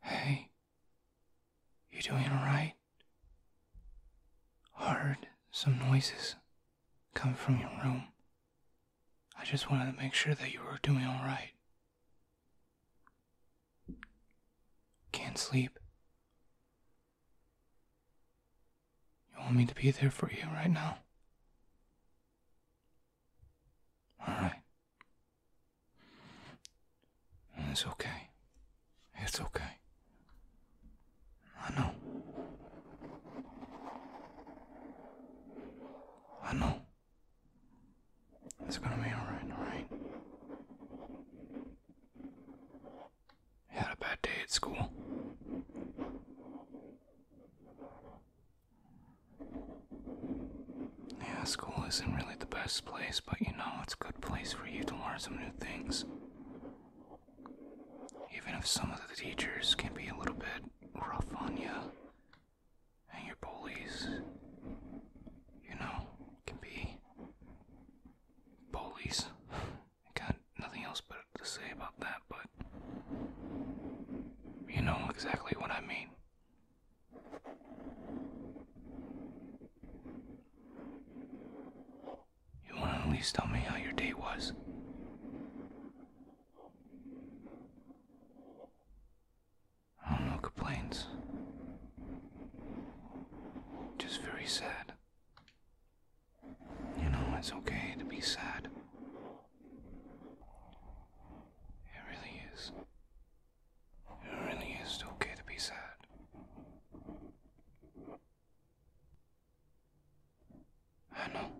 Hey, you doing alright? Heard some noises come from your room. I just wanted to make sure that you were doing alright. Can't sleep. You want me to be there for you right now? All right. It's okay. It's okay. I know. I know. It's gonna be alright, alright? You had a bad day at school? Yeah, school isn't really the best place, but you know, it's a good place for you to learn some new things. Even if some of the teachers can be a little bit rough on you, and your bullies, you know, can be bullies. got nothing else but to say about that, but you know exactly what I mean. You want to at least tell me how your day was? Oh, no complaints. Just very sad. You know, it's okay to be sad. It really is. It really is okay to be sad. I know.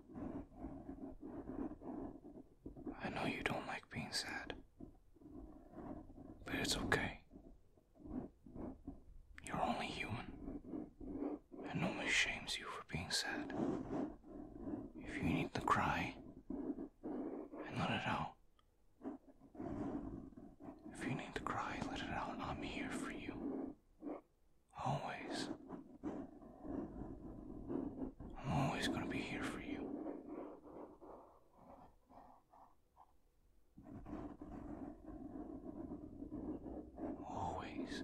I know you don't like being sad. But it's okay. You're only human and only shames you for being sad. If you need to cry, and let it out. If you need to cry, let it out. I'm here for you. Always. I'm always gonna be here for you. Always.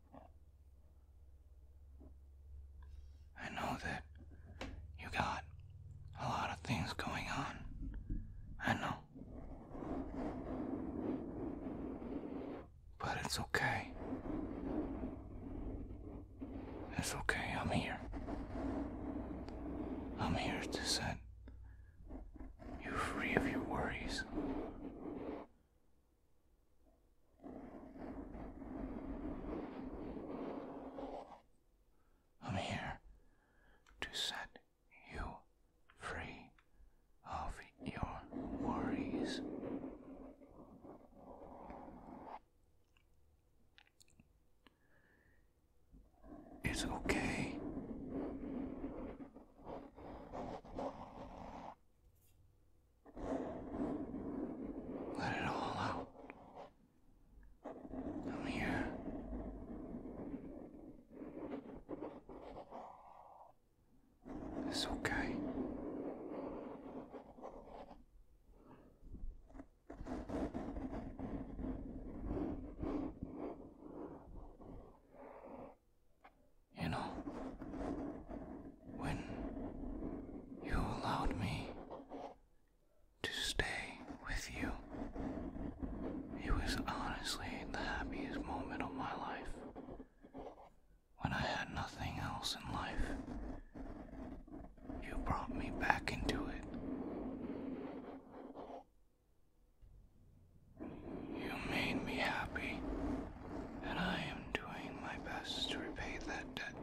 I know that you got a lot of things going on. I know. But it's okay. It's okay, I'm here. I'm here to set you free of your worries. I'm here to set you free of your worries. It's okay. Let it all out. i here. It's okay. You know, when you allowed me to stay with you, it was honestly the happiest moment of my life. When I had nothing else in life, you brought me back into it. You made me happy and I am doing my best to repay that debt.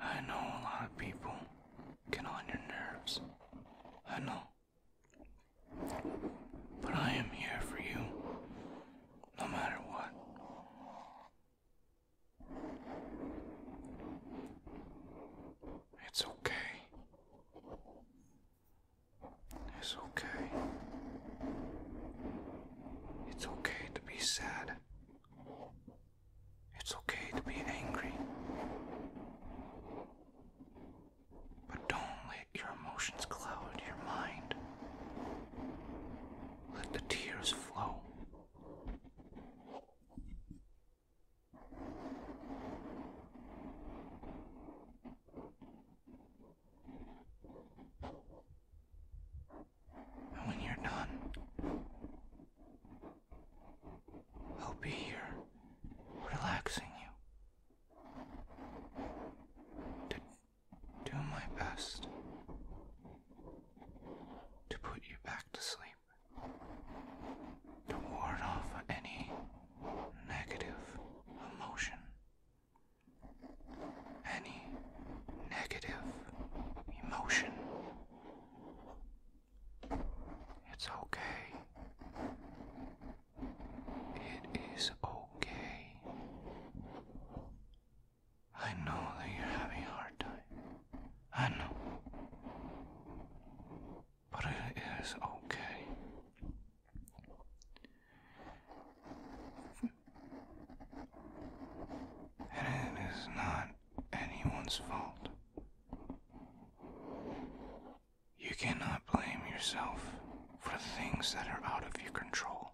I know a lot of people get on your nerves. I know. But I am here for you, no matter what. It's okay. It's okay. It's okay to be sad. It's okay to be angry. But don't let your emotions cloud your mind. Let the tears flow when you're done, I'll be here relaxing you to do my best to put you back to sleep, to ward off any negative emotion. Any negative emotion. It's okay. It is okay. I know that you're having a hard time. I know but it is okay. And it is not anyone's fault. You cannot blame yourself for things that are out of your control.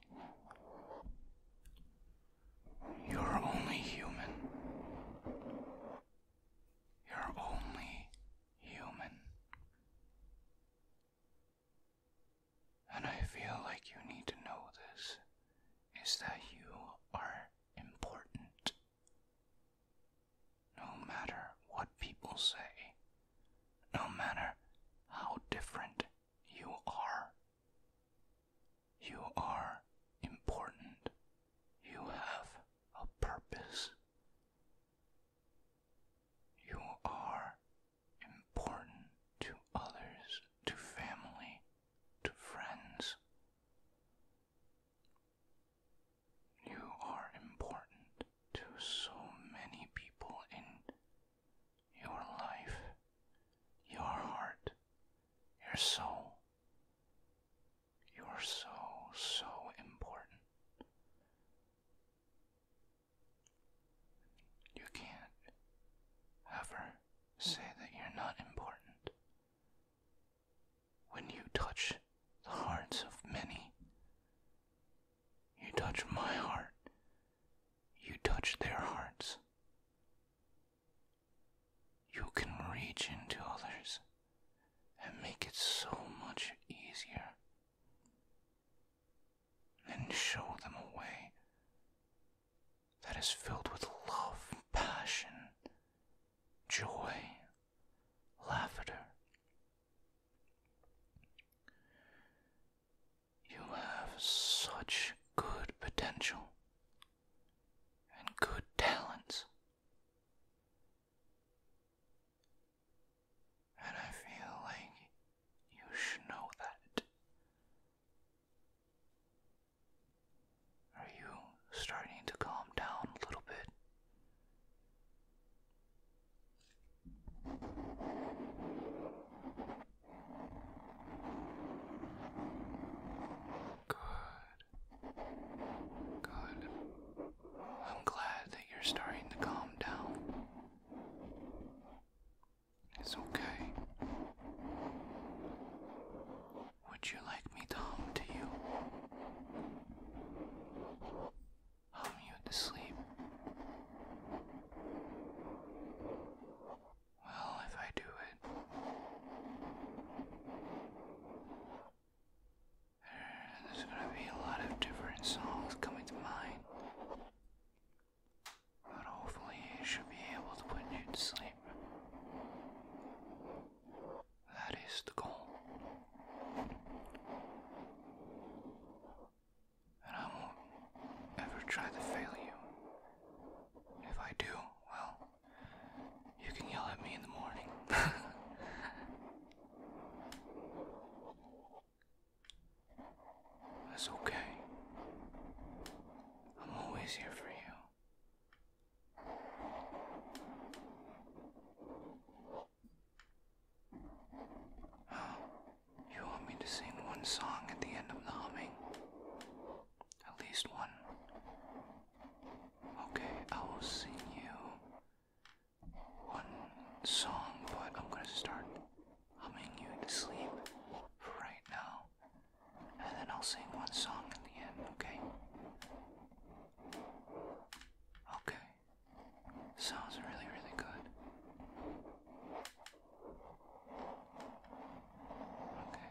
You're only human. You're only human. And I feel like you need to know this is that you are important. No matter what people say, no matter how different you are, you are important. You have a purpose. You are important to others, to family, to friends. You are important to so many people in your life, your heart, your soul. You're so, so important. You can't ever say that you're not important. When you touch the hearts of many, you touch my heart, you touch their hearts. You can reach into others and make it so much easier. And show them a way that is filled with love, passion, joy, laughter. You have such good potential and good talents. And I feel like you should know that. Are you starting to calm down a little bit? Good. Good. I'm glad that you're starting to calm down. It's okay. Would you like me to hum to you? Hum you to sleep? Well, if I do it, there's gonna be a lot of different songs coming to mind. But hopefully, it should be able to put you to sleep. That is the goal. And I won't ever try to fail you. If I do, well, you can yell at me in the morning. That's okay. I'm always here for you. Oh, you want me to sing one song at the end of the humming? At least one. Okay, I will sing you one song, but I'm gonna start humming you to sleep for right now. And then I'll sing one song at the end, okay? Okay. Sounds really, really good. Okay.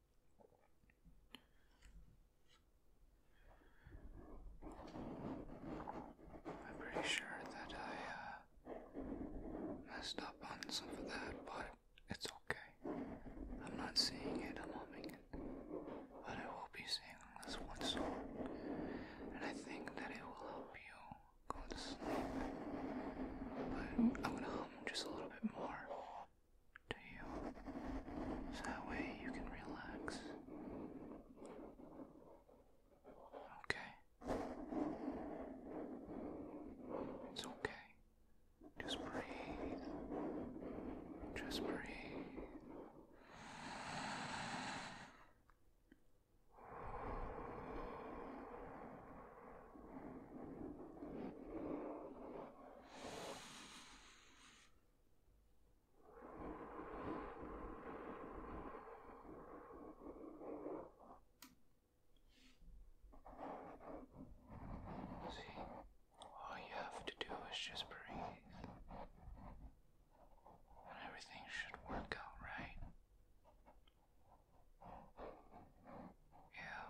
I'm pretty sure that I uh, messed up on some of that, but it's okay. I'm not seeing it, I'm humming it. But I will be singing this one song, and I think that it will help you go to sleep. But I'm gonna hum just a little bit more to you that way you can relax. Okay. It's okay. Just breathe. Just breathe. See, all you have to do is just breathe, and everything should work out right. Yeah,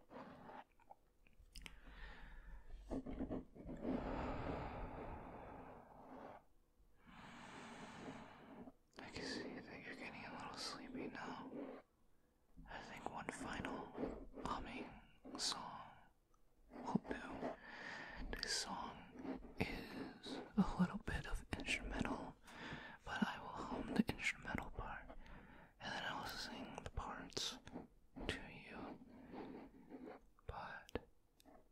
I can see that you're getting a little sleepy now. I think one final humming song will do. This song is a little bit of instrumental, but I will hum the instrumental part and then I will sing the parts to you. But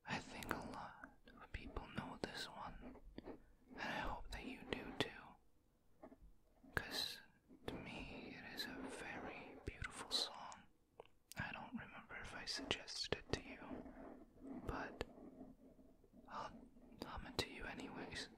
I think a lot of people know this one, and I hope that you do too. Because to me, it is a very beautiful song. I don't remember if I suggested it to you, but I'll hum it to you anyways.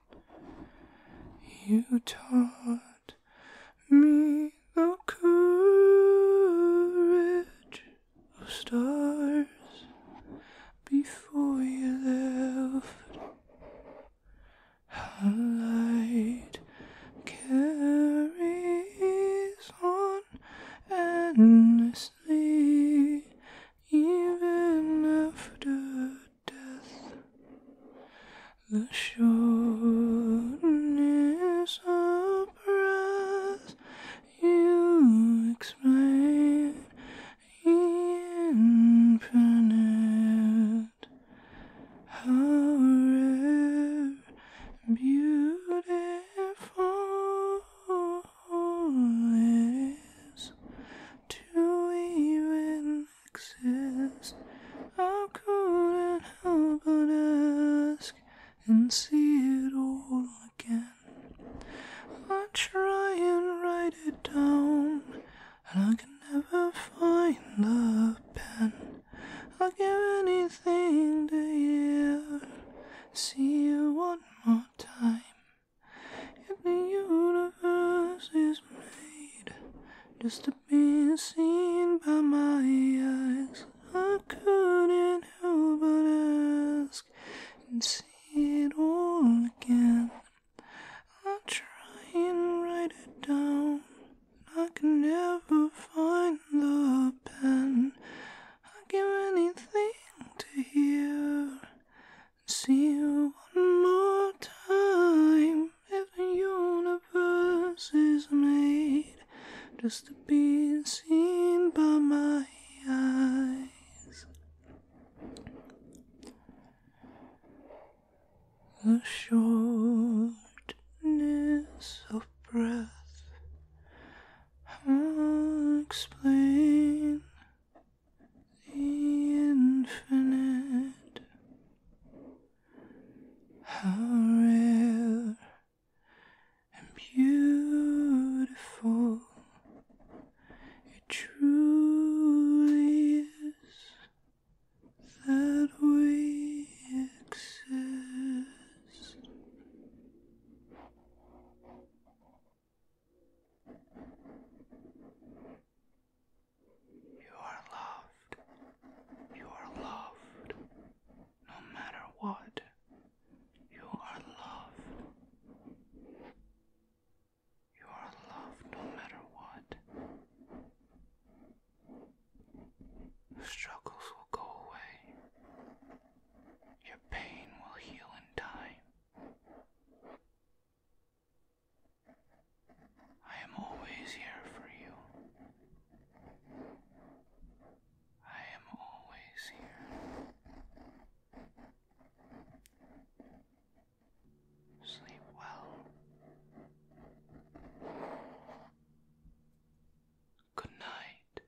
You taught me the courage of stars before you left. How light carries on endlessly, even after death. The shortness of breath you explain infinite. How beautiful it is to even exist. I couldn't help but ask and see it all again. I try and write it down, and I can never find the pen. I'll give anything to hear, see you one more time. If the universe is made just to being seen by my eyes. I couldn't help but ask and see it all again. I try and write it down, I can never find the pen. I'd give anything to hear and see you one more time if the universe is made just to be seen by my eyes? The shortness of breath I'll explain the infinite. How rare and beautiful it truly is that we exist. You are loved. You are loved. No matter what, you are loved. You are loved no matter what. struggles will go away. Your pain will heal in time. I am always here for you. I am always here. Sleep well. Good night.